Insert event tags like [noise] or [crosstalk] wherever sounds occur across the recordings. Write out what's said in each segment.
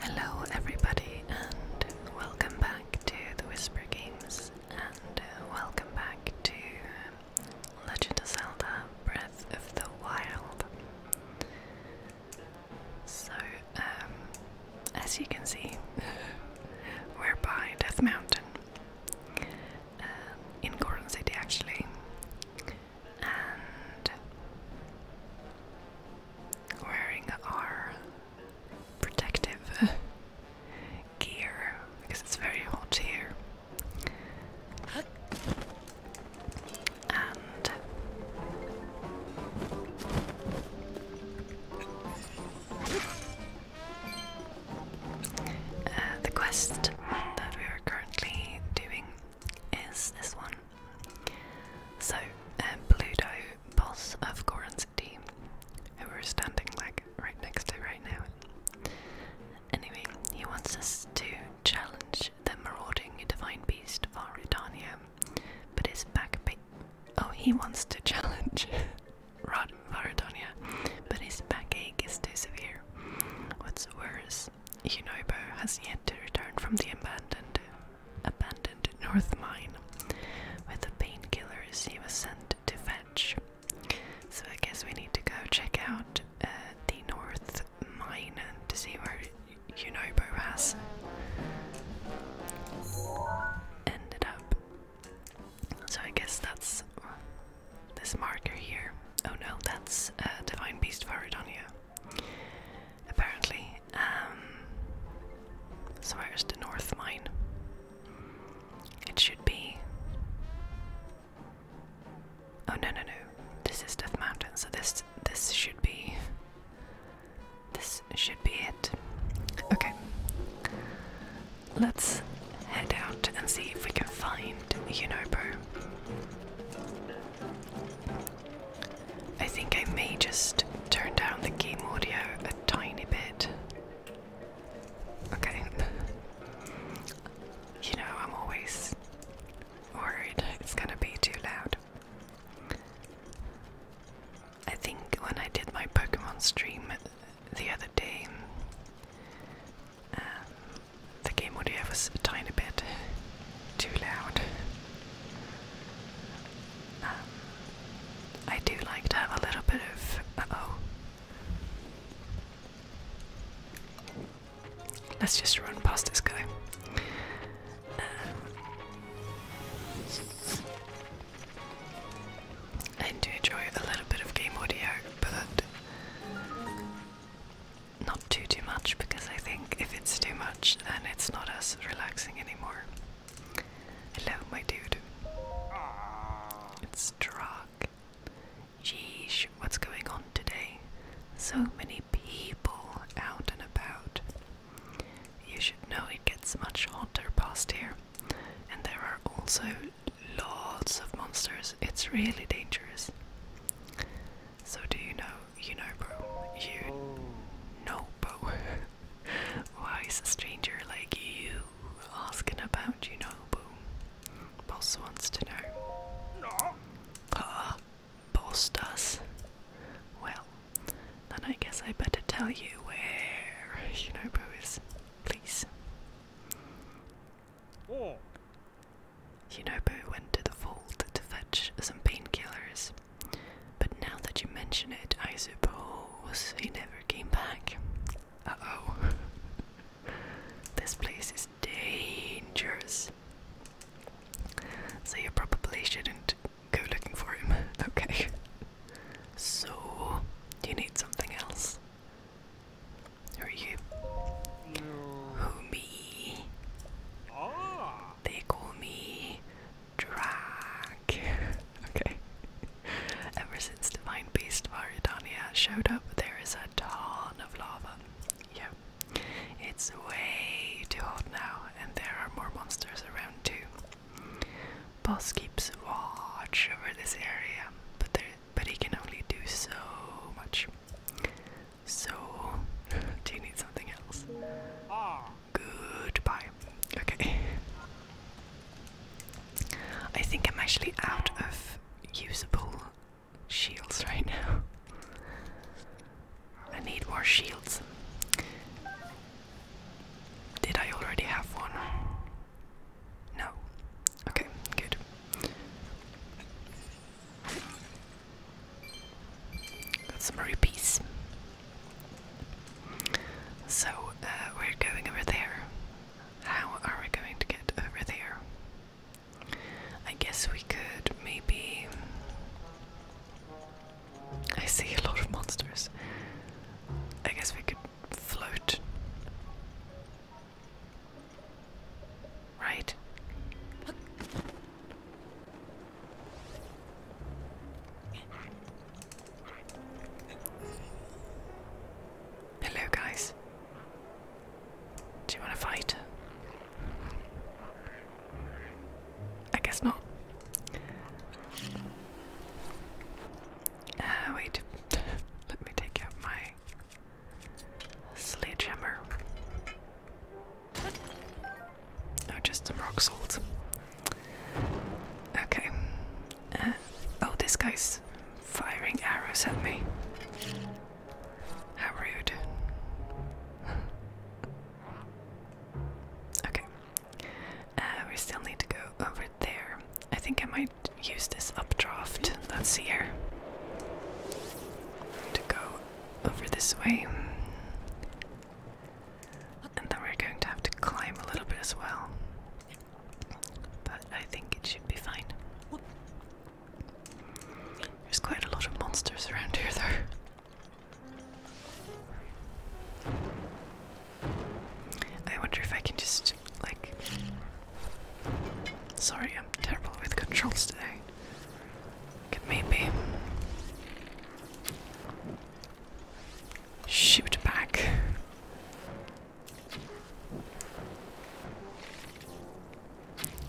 Hello, everybody, and welcome back to the Whisper Games, and uh, welcome back to um, Legend of Zelda Breath of the Wild. So, um, as you can see, [laughs] we're by Death Mountain um, in Gordon City actually. And wearing our protective [laughs] gear because it's very hot here. Uh, the quest that we are currently doing is this one. So, uh, Pluto, boss of Goran City, who we're standing like right next to right now. Anyway, he wants us to challenge the marauding divine beast Varidania, but his back oh he wants to challenge [laughs] Rod Varidania, but his backache is too severe. What's worse, Unobo has yet to return from the abandoned abandoned North Mine, with the painkillers he was sent to fetch. So I guess we need to go check out uh, the North mine to see where Unobo has ended up. So I guess that's this marker here. Oh no, that's uh, Divine Beast Viridonia. Apparently. Um, so where's the north mine? It should be Oh no no no! This is Death Mountain, so this this should be this should be it. Okay, let's head out and see if we can find Unobo. I think I may just turn down the game audio a tiny bit. Okay. you know, I'm always worried it's gonna be too loud. I think when I did my Pokemon stream the other day, um, the game audio was a tiny bit too loud. Um, I do like to have a little bit of. Let's just run past this guy. Um, I do enjoy a little bit of game audio, but not too too much because I think if it's too much, then it's not as relaxing anymore. Hello, my dude. It's Drog. Jeesh, what's going on today? So many people out and about. You should know it gets much hotter past here, and there are also lots of monsters. It's really dangerous. So, do you know, you know, bro? You know, bro? [laughs] Why is a stranger like you asking about you know, bro? Boss wants to know. No. Ah, boast us? Well, then I guess I better tell you where Shinobu is, please. Oh. Shinobu went to the vault to fetch some painkillers, but now that you mention it, I suppose he never came back. Uh oh. [laughs] this place is dangerous. So you probably shouldn't go looking for him. [laughs] Okay. So, do you need something else? Who are you? Who, me? Ah. They call me Drag. [laughs] okay. Ever since Divine Beast Varidania showed up, there is a ton of lava. Yeah, it's way too hot now, and there are more monsters around too. Boss keeps watch over this area, but there, but he can only do so much. So, do you need something else? Goodbye. Okay. I think I'm actually out of usable shields right now. [laughs] I need more shields. Did I already have one? No. Okay, good. Got some rupees. So, uh, we're going over there. How are we going to get over there? I guess we could maybe. I see a lot of monsters. I guess we could float. Right? Hello, guys. Do you want to fight? I guess not. Uh, wait. [laughs] Let me take out my sledgehammer. Oh, just some rock salt. Okay. Uh, oh, this guy's firing arrows at me. How rude. [laughs] okay. Uh, we still need to go over there. I think I might use this updraft that's here to go over this way. And then we're going to have to climb a little bit as well. But I think it should be fine. There's quite a lot of monsters around here, though. I wonder if I can just, like. Sorry, I'm terrible with controls today. maybe. Shoot back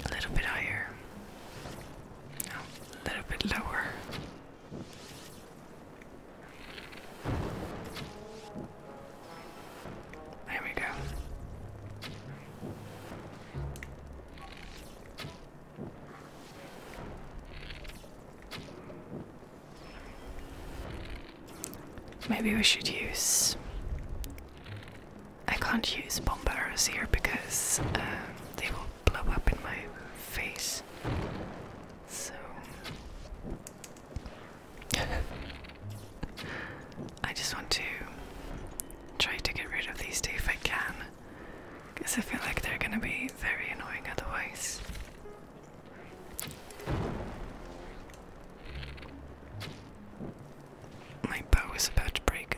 a little bit higher, no, a little bit lower. There we go. Maybe we should use I can't use bomb arrows here because um, they will blow up in my face. So [laughs] I just want to try to get rid of these two if I can, because I feel like they're going to be very annoying otherwise. My bow is about to break.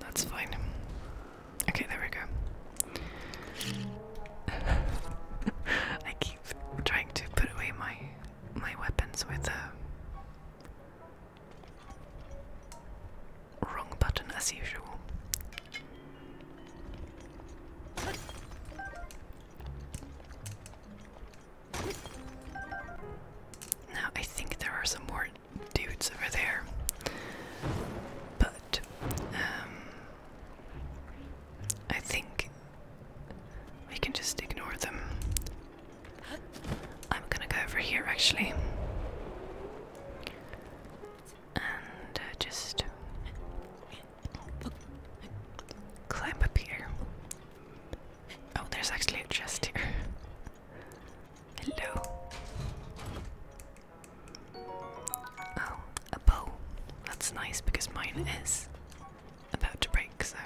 That's fine. Okay, there we go. [laughs] I keep trying to put away my my weapons with the wrong button as usual. Now I think there are some more dudes over there. But um I think we can just ignore them. I'm gonna go over here actually. And uh, just climb up here. Oh, there's actually a chest here. Hello. Oh, a bow. That's nice because mine is about to break, so.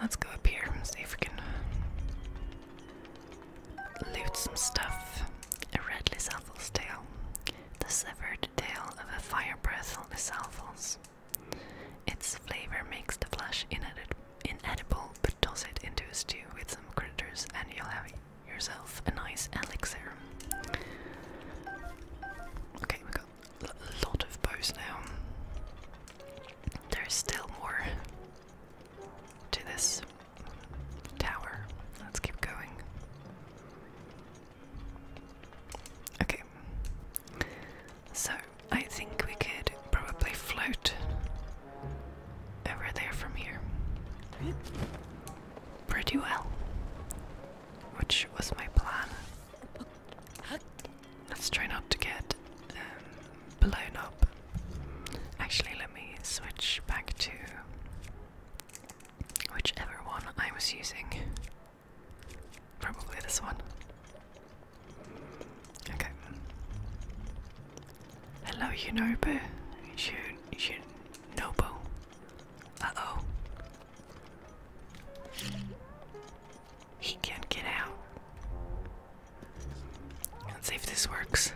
Let's go up here and see if we can loot some stuff. A red Lysalvel's tail. The severed tail of a fire breath on Lysalvel's. Its flavor makes the flesh inedible inedible, but toss it into a stew with some critters and you'll have yourself a nice elixir. Okay, we got a lot of bows now. There's still more to this tower. Let's keep going. Okay. So I think we could probably float over there from here pretty well, which was my plan. Let's try not to get um, blown up. Actually, let me switch back to whichever one I was using. Probably this one. Okay. Hello, Yunobu. Shun, Uh oh. He can't get out. Let's see if this works.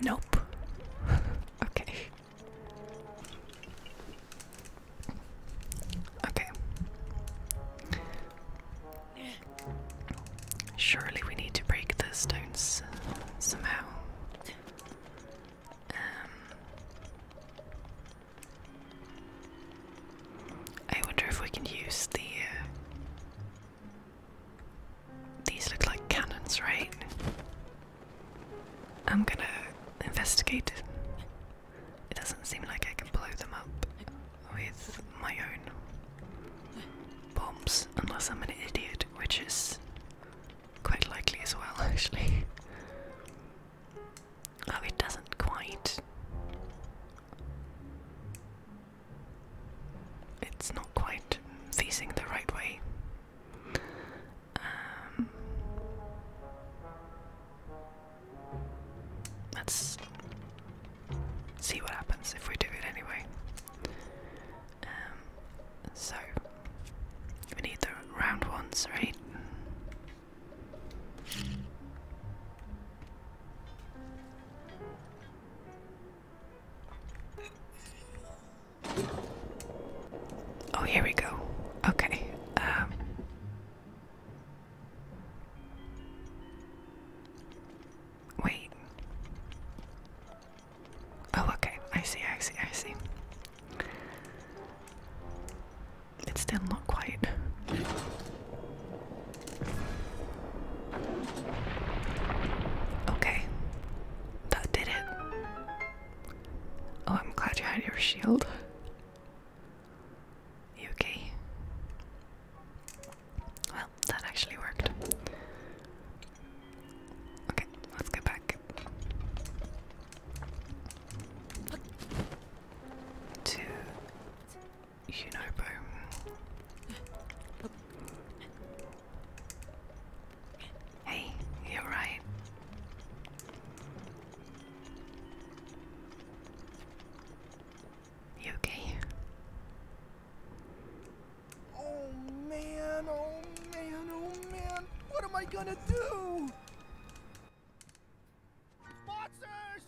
Nope. [laughs] okay. Okay. Surely we need to break the stones uh, somehow. Um, I wonder if we can use the. Uh, these look like cannons, right? I'm gonna investigate. It doesn't seem like I can blow them up with my own bombs, unless I'm an idiot, which is quite likely as well, [laughs] actually. Oh, it doesn't quite. It's not quite facing the right way. Um, Let's see what happens if we do it anyway. Um, so, we need the round ones, right? Oh, here we go. Okay. Um, Wait. Oh, okay. I see, I see, I see. It's still not quite. Okay. That did it. Oh, I'm glad you had your shield. You okay? Well, that actually worked. Okay, let's go back to Unobo. Hey, you're right. You okay? Oh man, oh man, oh man. What am I gonna do? Monsters!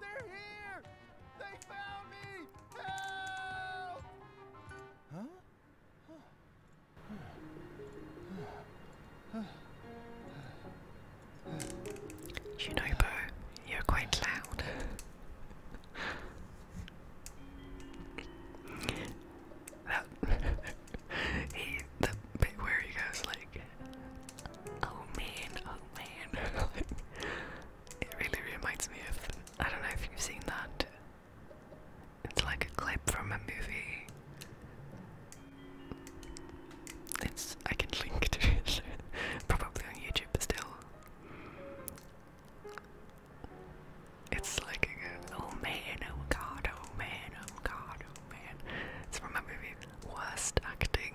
They're here! They found me! Help! huh. Shinobu, you're quite loud. that [laughs] where he goes like, oh man, oh man, [laughs] it really reminds me of, I don't know if you've seen that, it's like a clip from a movie, it's I can link to it [laughs] probably on YouTube still. It's like oh man, oh god, oh man, oh god, oh man. It's from my movie Worst Acting.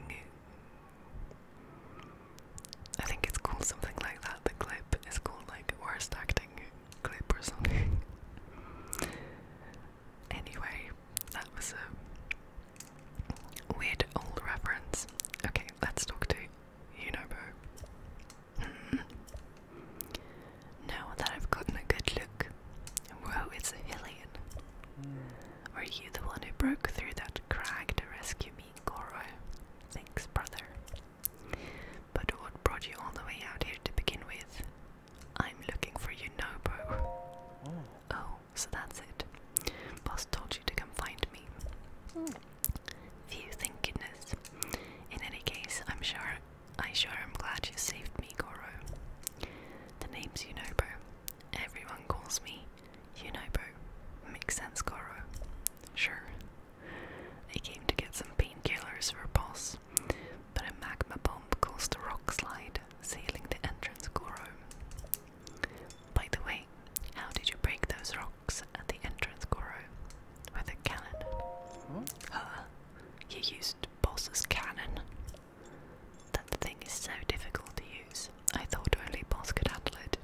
I think it's called something like that. The clip is called like Worst Acting Clip or something. [laughs] Anyway, that was a weird old reference. Okay, let's talk to you hmm. Now that I've gotten a good look, whoa, it's a Hillian. Were hmm. you the one who broke through that crag to rescue me, Goro? Thanks, brother. But what brought you all the way out here to begin with? I'm looking for you, oh, oh so that's it. Boss told you to come find me. Mm. thank goodness. In any case, I'm sure I sure am glad you saved me, Goro. The name's Unobo. Everyone calls me Unobo. Makes sense, Goro. Sure. I came to get some painkillers for Boss, but a magma bomb caused a rock slide, sealing the entrance, Goro. By the way, how did you break those rocks at the entrance, Coro? With a cannon? Huh? you used Boss's cannon. That thing is so difficult to use. I thought only Boss could handle it.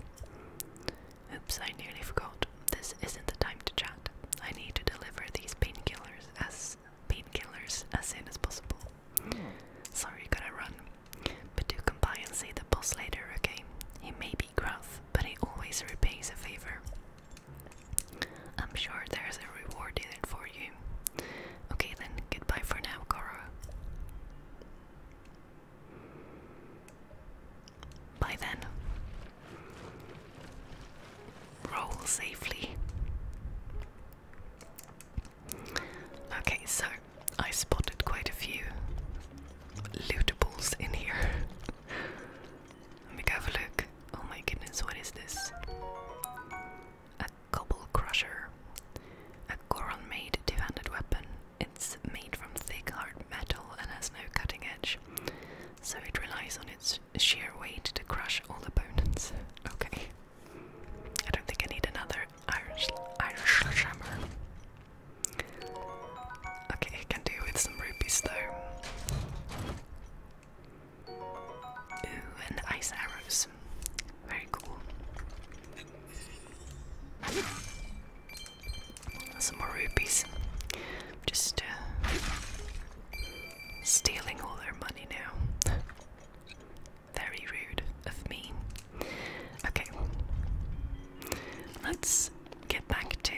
Oops, I nearly forgot. This isn't the time to chat. I need to deliver these painkillers as painkillers as soon as possible. Hmm. Sorry, gotta run. But do comply and say the boss later, okay? He may be gruff, but he always repays a favor. I'm sure there's a reward in it for you. Okay then, goodbye for now, Koro. Bye then. Roll safely. Okay, so I spotted quite a few lootables in here. [laughs] Let me go have a look. Oh my goodness, what is this? A cobble crusher. A Goron made two handed weapon. It's made from thick, hard metal and has no cutting edge, so it relies on its sheer weight to crush all opponents. [laughs] Okay. I don't think I need another Irish Irish Shammer. Okay, I can do with some rupees though. Ooh, and ice arrows. Very cool. Some more rupees. Just uh, stealing all their money now. Very rude of me. Okay, let's get back to.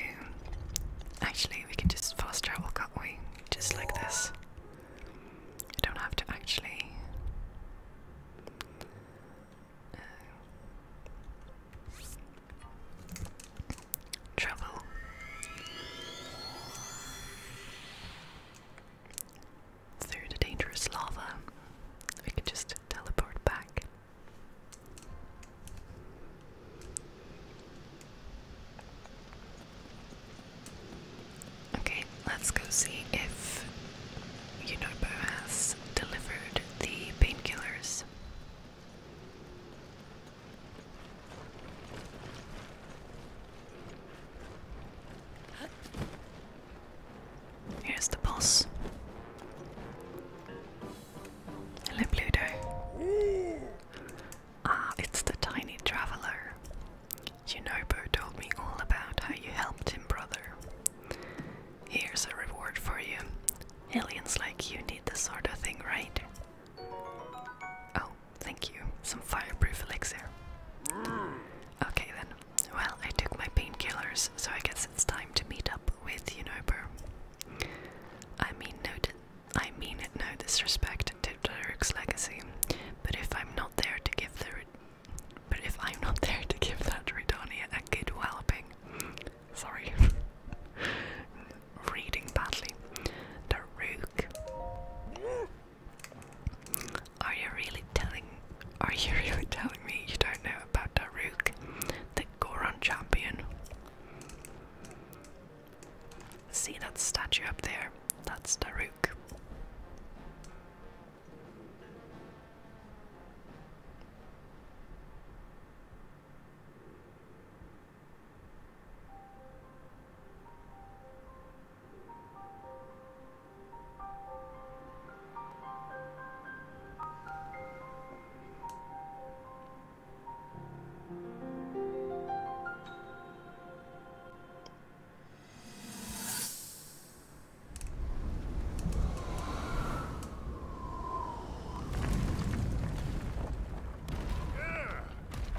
Actually, we can just fast travel, can't we? Just like this. I don't have to actually. Uh, travel through the dangerous lava. We can just teleport back. Okay, let's go see if Unobo has delivered the painkillers. Here's the boss. Hello, Pluto. Ah, it's the tiny traveler. Junobo told me all about how you helped him, brother. Here's a reward for you. Aliens like you need this sort of thing, right? Oh, thank you. Some fireproof elixir. Okay then. Well, I took my painkillers, so I guess it's time to meet up with Unober. I mean no I mean no disrespect to Derek's legacy, but if I'm not there to give the but if I'm not [laughs] there to give that Redania a good walloping, sorry, [laughs] reading badly, the Rook are you really telling are you [laughs] really telling me you don't know about Daruk, the Goron champion? See that statue up there? That's Daruk.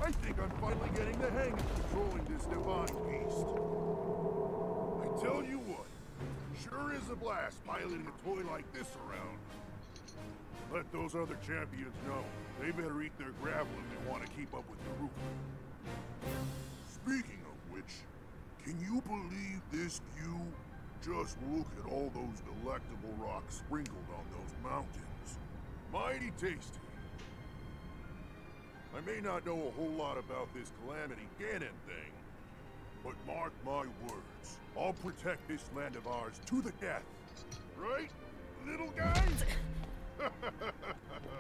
I think I'm finally getting the hang of controlling this divine beast. I tell you what, Sure is a blast piloting a toy like this around. Let those other champions know. They better eat their gravel if they want to keep up with the route. Speaking of which, can you believe this view? Just look at all those delectable rocks sprinkled on those mountains. Mighty tasty. I may not know a whole lot about this Calamity Ganon thing, but mark my words, I'll protect this land of ours to the death. Right, little guys?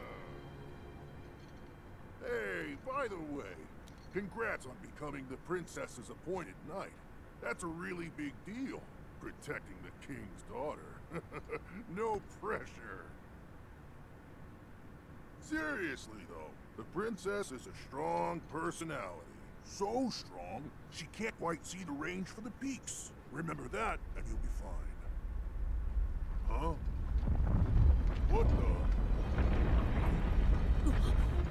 [laughs] hey, by the way, congrats on becoming the princess's appointed knight. That's a really big deal, protecting the king's daughter. [laughs] no pressure. Seriously, though, the princess is a strong personality. So strong, she can't quite see the range for the peaks. Remember that, and you'll be fine. Huh? What the? [laughs]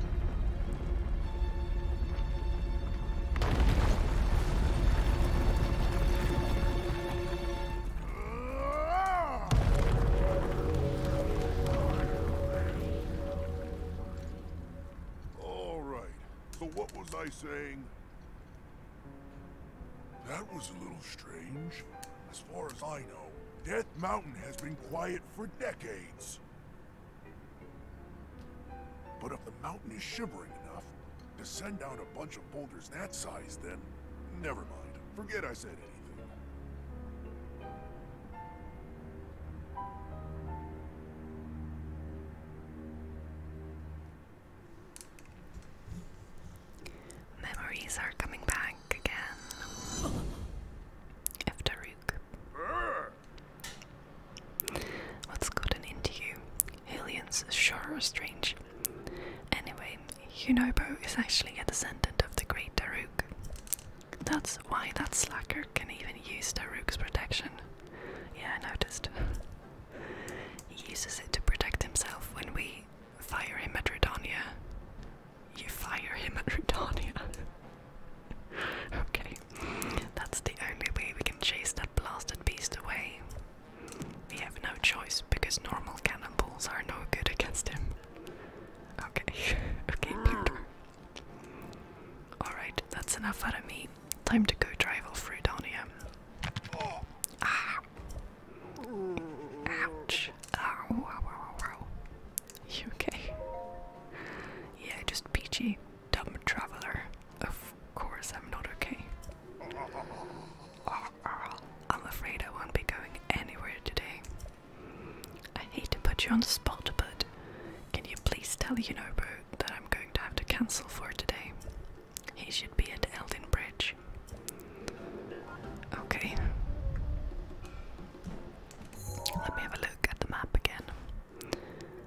All right. So what was I saying? That was a little strange. As far as I know, Death Mountain has been quiet for decades. But if the mountain is shivering enough to send down a bunch of boulders that size, then never mind. Forget I said it. Memories are coming back again. Of What's gotten into you? Aliens sure are strange. Anyway, Yunobo is actually a descendant of the great Taruk. That's why that slacker can even use Taruk's protection. Yeah, I noticed. he uses it to protect himself when we fire him at Redonia. You fire him at Redonia. [laughs] okay, that's the only way we can chase that blasted beast away. We have no choice because normal cannonballs are no good against him. Okay, [laughs] okay, Peter. Ah. Alright, that's enough out of me. Time to go drive all through down Ouch. Ow, ow, ow, ow. You okay? Yeah, just peachy, dumb traveler. Of course, I'm not okay. Ah, ah. I'm afraid I won't be going anywhere today. I need to put you on the spot, but can you please tell Unobo that I'm going to have to cancel for today? He should be at Eldon Bridge. Okay. Let me have a look at the map again.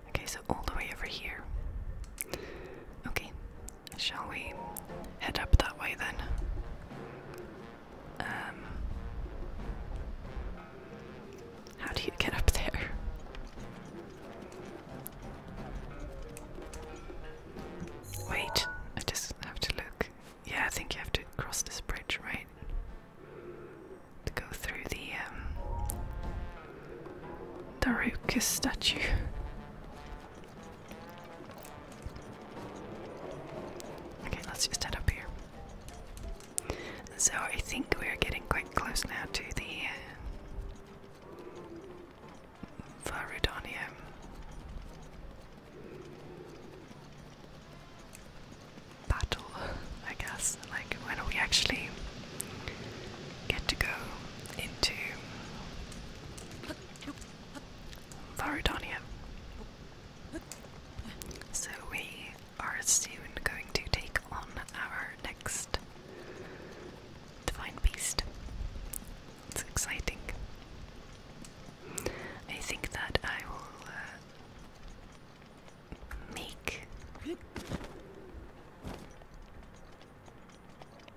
Okay, so all the way over here. Okay, shall we head up that way then? Um, how do you get up there? Wait, I just have to look. Yeah, I think you have to cross this bridge, right? To go through the um statue. Okay, let's just head up here. So I think we're getting quite close now to the uh, Battle, I guess. Like, when we actually get to go into Varudonium. So we are soon going to take on our next divine beast. It's exciting. I think that I will uh, make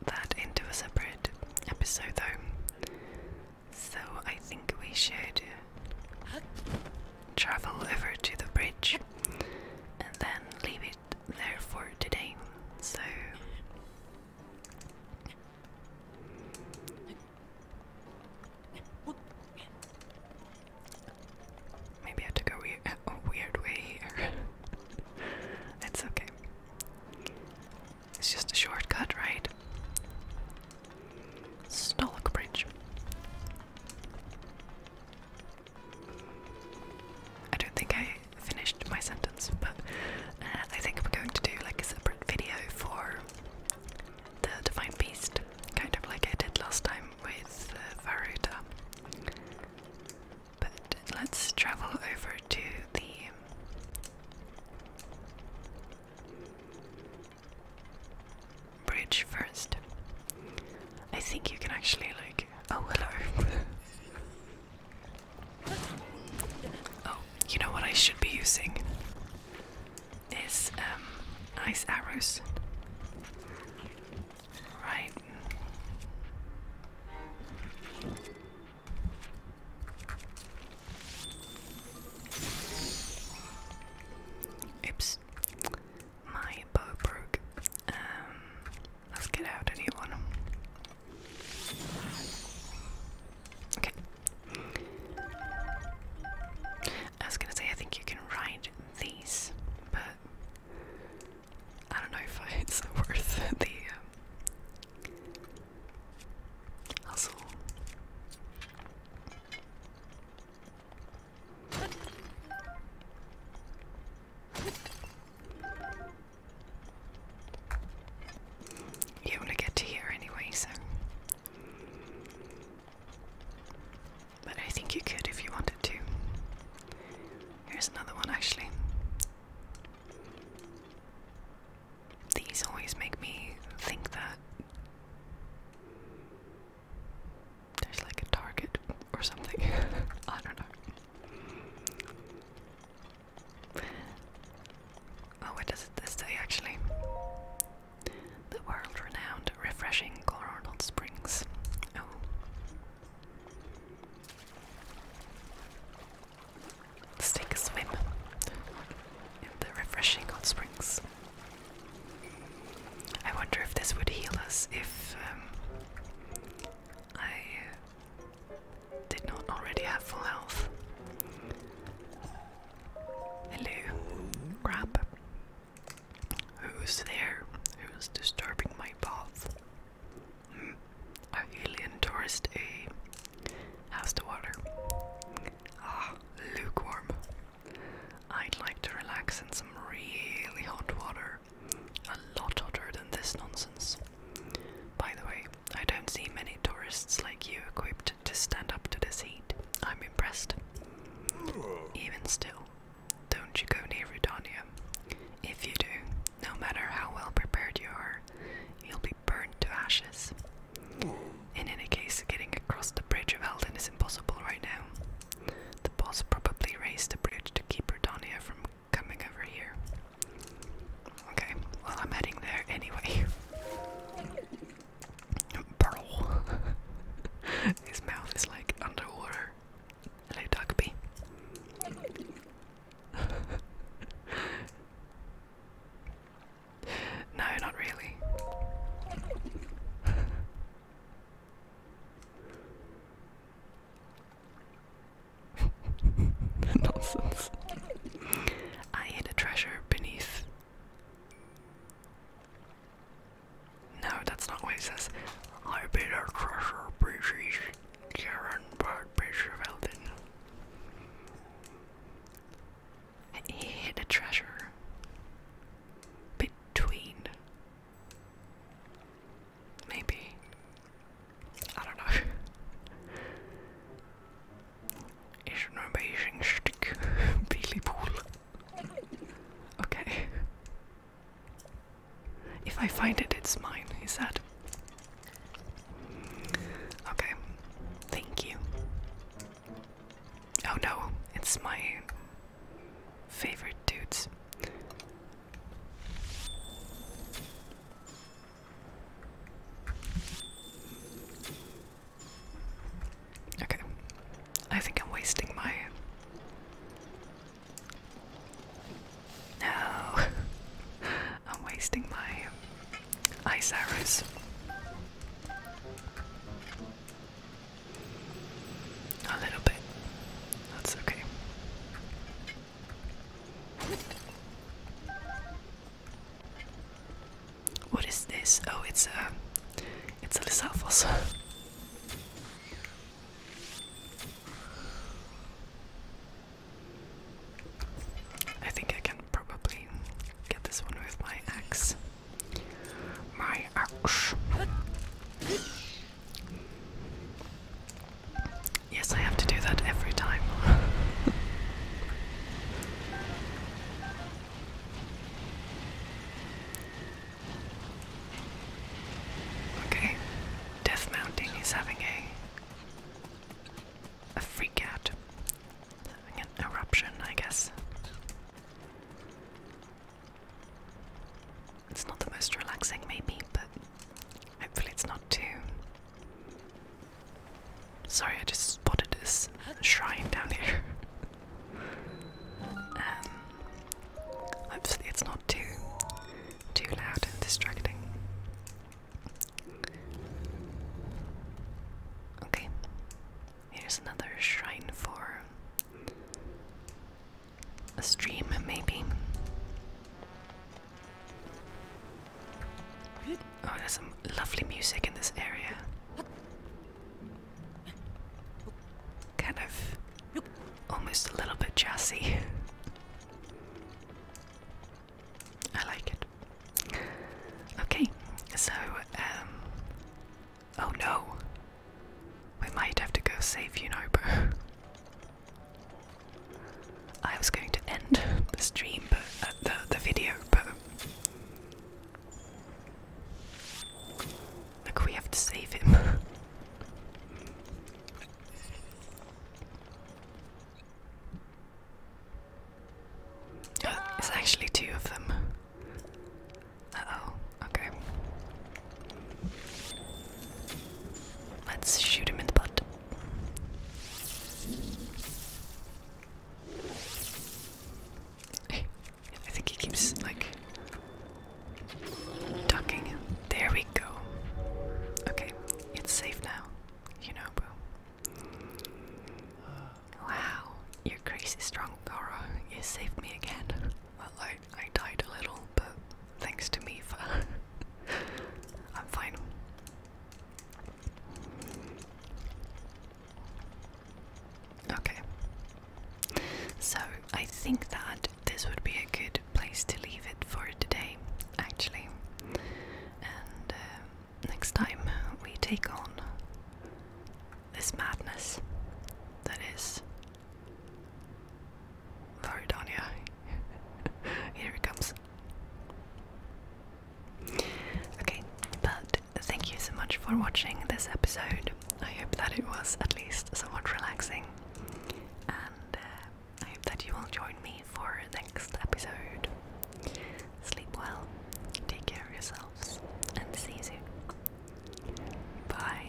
that into a separate episode, though. So I think we should travel over to the bridge and then leave it there for today. So maybe I took a weird, [laughs] a weird way here. [laughs] it's okay. It's just a shortcut, right? Stolok Bridge. I don't think I finished my sentence, but uh, I think I'm going to do like a separate video for the Divine Beast, kind of like I did last time with uh, But let's travel over to the bridge first. I think you can actually like oh hello. oh, you know what I should be using is um ice arrows. Right. Oops. My bow broke. Um, let's get out a Okay. I was gonna say, I think you can ride these, but I don't know if [laughs] it's worth the. Um, Hustle. You want to get to here anyway, so. But I think you could if you wanted to. Here's another one, actually. These always make me think that there's like a target or something. [laughs] I don't know. Oh, what does it this actually? The world renowned, refreshing Colorado Springs. Oh. Let's take a swim in the refreshing hot springs. I wonder if this would heal us if um, I uh, did not already have full health. Hello, crab. Who's there? Who's disturbing my path? Hmm. alien tourist, A. Eh? How's the water? Ah, lukewarm. I'd like to relax in some really hot water. A lot hotter than this nonsense. By the way, I don't see many tourists like you equipped to stand up to this heat. I'm impressed. Even still, don't you go near Redania. If you do, no matter how well prepared you are, you'll be burned to ashes. In any case, getting across the bridge of Elden is impossible right now. The boss probably raised the bridge to keep Britannia from coming over here. Okay, well, I'm heading there anyway. Pearl. [laughs] [laughs] His mouth is like underwater. Hello, Dugby. [laughs] No, not really. [laughs] Nonsense. I hid a treasure beneath. No, that's not what it says. I hid a treasure beneath Karen Bird Bechervelden. He hid a treasure between. Maybe. I don't know. [laughs] It's an amazing stick, [laughs] Billy Okay. If I find it, it's mine, he said. Okay. Thank you. Oh no, it's my favorite dudes. Okay. I think I'm wasting my. No! [laughs] I'm wasting my ice arrows. A little bit. That's okay. What is this? Oh, it's a, it's a Lissal I think I can probably get this one with my axe. My axe. Yes, I have to do that every time. [laughs] okay, Death Mounting is having a a freak out an eruption, I guess. It's not the most relaxing, maybe, but hopefully it's not too. Sorry, I just spotted this shrine down here. [laughs] um, hopefully it's not too too loud and distracting. Okay. Here's another shrine for a stream, maybe. Oh, there's some lovely music in this area. Kind of almost a little bit jazzy. [laughs] I like it. Okay, so, um. Oh no! We might have to go save Unobo. I was going to end the stream, but. Uh, the, the video, but. Look, we have to save him. There's actually two of them. uh okay. Let's shoot him in the butt. [laughs] I think he keeps like ducking. There we go. Okay, it's safe now. You know, bro. Wow, you're crazy strong, Goro. You saved me again. Well, I, died a little, but thanks to me for. [laughs] I'm fine. Okay. So, I think that this would be a good place to leave it for today, actually. And um, next time we take on this madness that is Varidania. [laughs] Here it comes. Okay, but thank you so much for watching this episode. I hope that it was at least somewhat relaxing, and uh, I hope that you will join me for next episode. Sleep well, take care of yourselves, and see you soon. Bye.